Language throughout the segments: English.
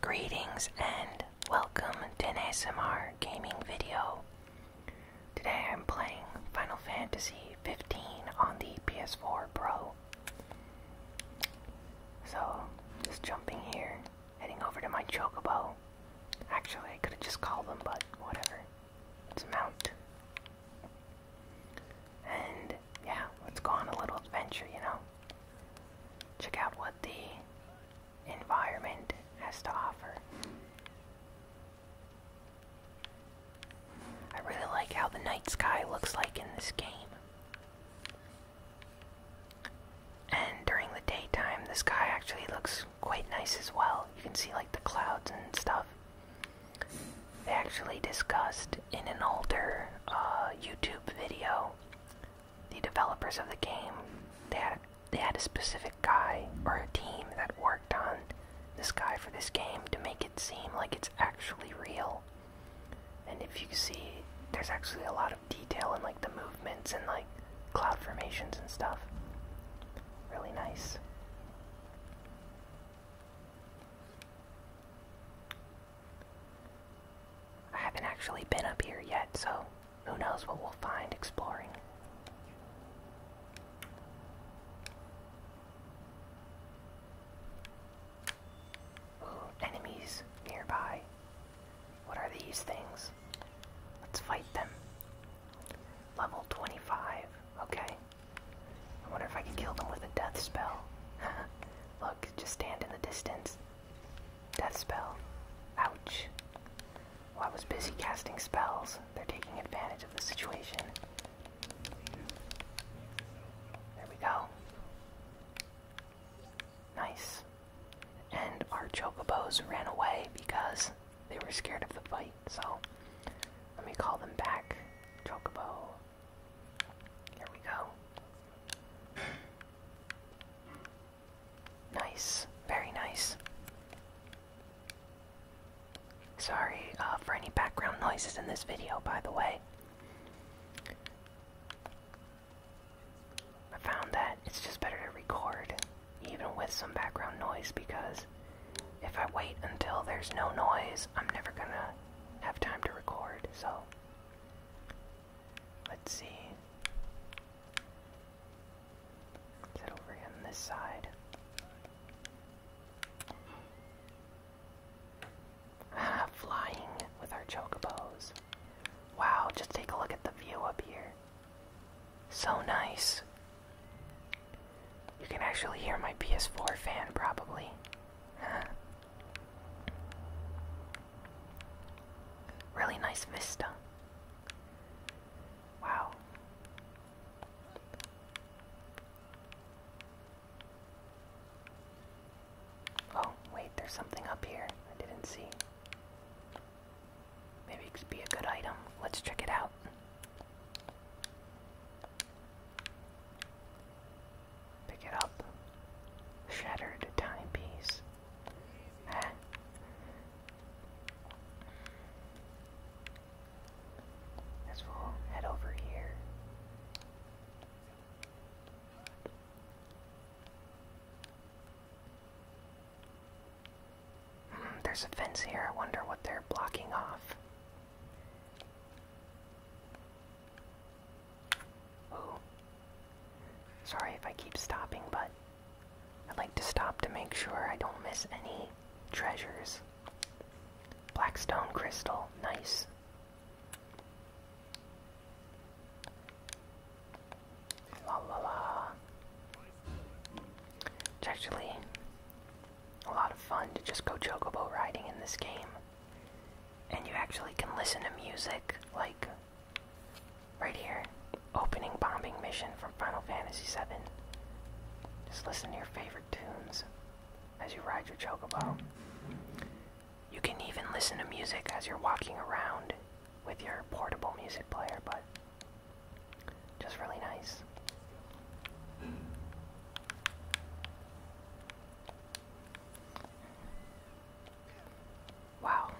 Greetings and welcome to NSMR gaming video. Today I'm playing Final Fantasy 15 on the PS4 Pro. So, just jumping here, heading over to my Chocobo. Actually, I could have just called them, but whatever. It's a mount. And yeah, let's go on a little adventure, you know? Check out what the environment has to offer. I really like how the night sky looks like in this game. And during the daytime, the sky actually looks quite nice as well. You can see like the clouds and stuff. They actually discussed in an older uh, YouTube video the developers of the game, they had they had a specific guy or a team that worked on this guy for this game to make it seem like it's actually real. And if you see, there's actually a lot of detail in like the movements and like cloud formations and stuff. Really nice. I haven't actually been up here yet, so who knows what we'll find exploring. enemies nearby. What are these things? Let's fight them. Level 25. Okay. I wonder if I can kill them with a death spell. Look, just stand in the distance. Death spell. Ouch. I was busy casting spells. They're taking advantage of the situation. There we go. Nice. And our chocobos ran away because they were scared of the fight, so let me call them back. Chocobo, here we go. Nice, very nice. Sorry uh, for any background noises in this video, by the way. I found that it's just better to record, even with some background noise, because if I wait until there's no noise, I'm never gonna have time to record, so Let's see. Is it over on this side? Ah, flying with our chocobos. Wow, just take a look at the view up here. So nice. You can actually hear my PS4 fan, probably. Really nice vista. Wow. Oh, wait, there's something up here I didn't see. Maybe it could be a good item. Let's check it out. Pick it up. Shattered timepiece. Ah. As we head over here. Hmm, there's a fence here. I wonder what they're blocking off. Ooh. Sorry if I keep stopping, but I like to stop to make sure I don't miss any treasures. Blackstone crystal, nice. La la la. It's actually a lot of fun to just go chocobo riding in this game and you actually can listen to music like right here opening bombing mission from Final Fantasy VII. Just listen to your favorite tunes as you ride your chocobo. You can even listen to music as you're walking around with your portable music player, but just really nice. Wow.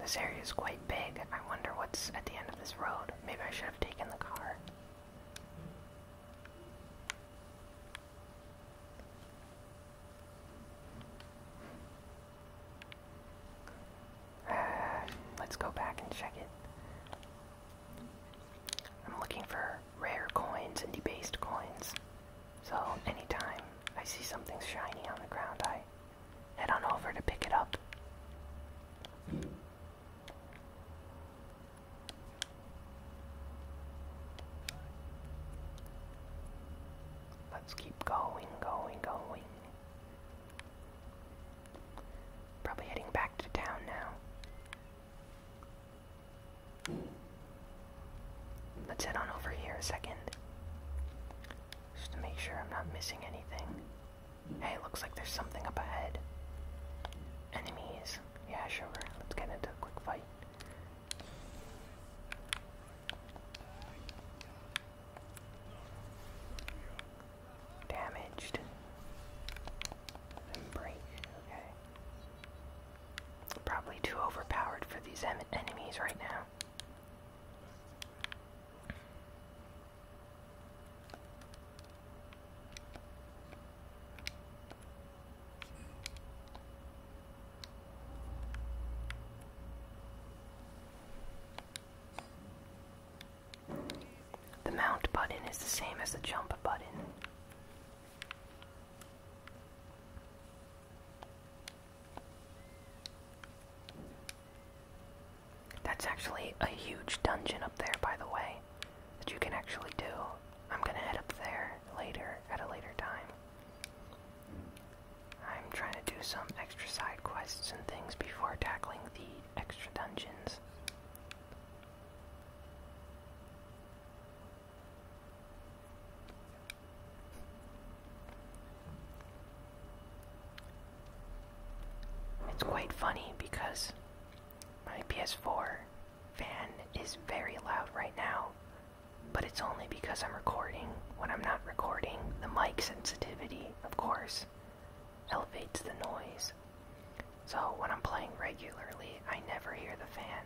This area is quite big. I wonder what's at the end of this road. Maybe I should have taken the car. Uh, let's go back and check it. I'm looking for rare coins and debased coins. So anytime I see something shiny on the ground, I head on over to pick it up. Let's keep going, going, going. Probably heading back to town now. Let's head on over here a second. Just to make sure I'm not missing anything. Hey, looks like there's something up ahead. Enemies. Yeah, sure. Let's get into a quick fight damaged break. Okay. Probably too overpowered for these enemies right now. The mount button is the same as the jump button. That's actually a huge dungeon up there, by the way, that you can actually do. I'm gonna head up there later, at a later time. I'm trying to do some extra side quests and things before tackling the extra dungeons. It's quite funny because my PS4 fan is very loud right now, but it's only because I'm recording. When I'm not recording, the mic sensitivity, of course, elevates the noise. So when I'm playing regularly, I never hear the fan.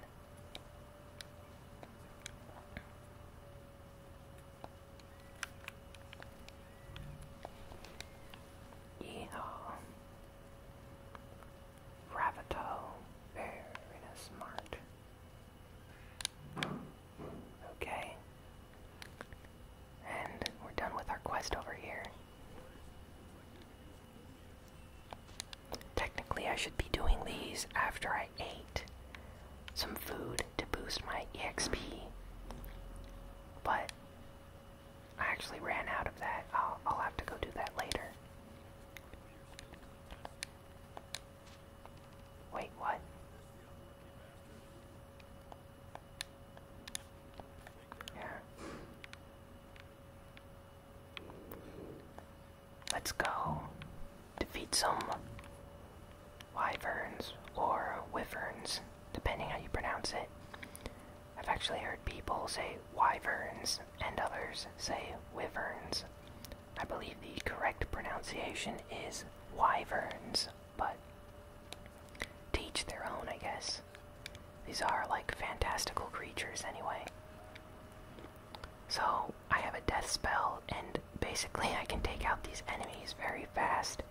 Yeehaw. Ravato. Very smart. Okay, and we're done with our quest over here. Technically, I should be doing these after I ate some food to boost my EXP, but I actually ran out of that. I'll, have to go do that later. Wait, what? Yeah. Let's go defeat some wyverns or wyverns, depending how you pronounce it. I've actually heard people say wyverns and others say wyverns. I believe the correct pronunciation is wyverns but teach their own, I guess. These are like fantastical creatures, anyway. So, I have a death spell, and basically, I can take out these enemies very fast.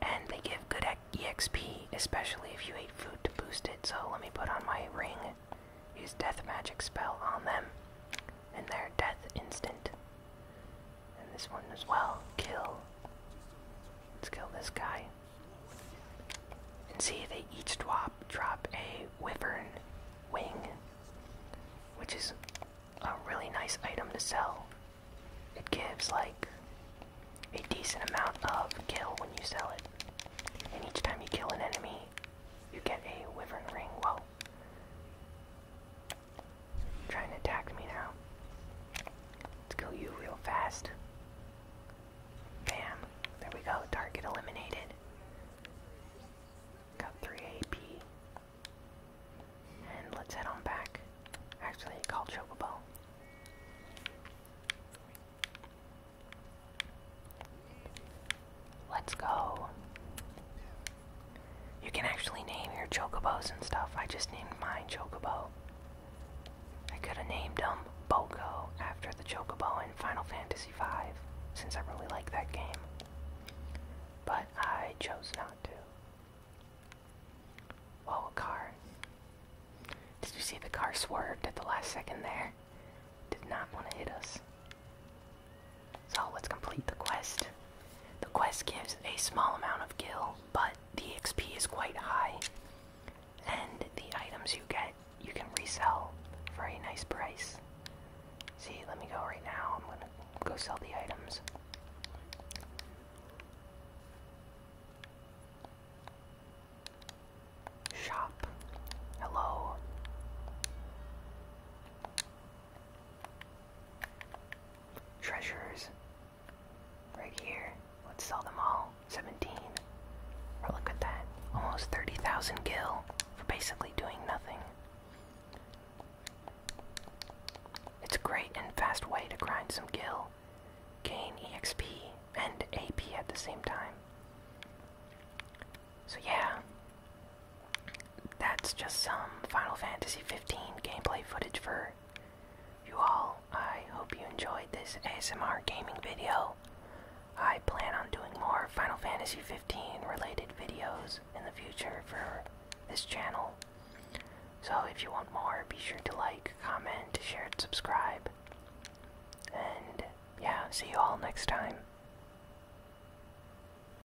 And they give good EXP, especially if you eat food to boost it. So, let me put on my ring, use Death Magic spell on them, and their death instant. And this one as well. Kill. Let's kill this guy. And see, they each drop, a wyvern wing, which is a really nice item to sell. It gives like a decent amount of kill when you sell it. And each time you kill an enemy, you get a wyvern ring. Well, Trying to attack me now. Let's kill you real fast. Bam. There we go. Target eliminated. Got 3 AP. And let's head on back. Actually, call Chocobo. Let's go. You can actually name your chocobos and stuff. I just named mine Chocobo. I could have named him Boko after the Chocobo in Final Fantasy V, since I really like that game. But I chose not to. Oh, a car. Did you see the car swerved at the last second there? Did not want to hit us. So let's complete the quest. The quest gives a small amount of gil, but the XP is quite high. And the items you get, you can resell for a nice price. See, let me go right now. I'm gonna go sell the items. Shop. Hello. Treasures. Right here. Let's sell them all. 17. look at that. Almost 30,000 gil for basically doing nothing. It's a great and fast way to grind some gil, gain EXP, and AP at the same time. So yeah, that's just some Final Fantasy 15 gameplay footage for you all. I hope you enjoyed this ASMR gaming video. I plan on doing more Final Fantasy 15 related videos in the future for this channel. So if you want more, be sure to like, comment, share, and subscribe. And yeah, see you all next time.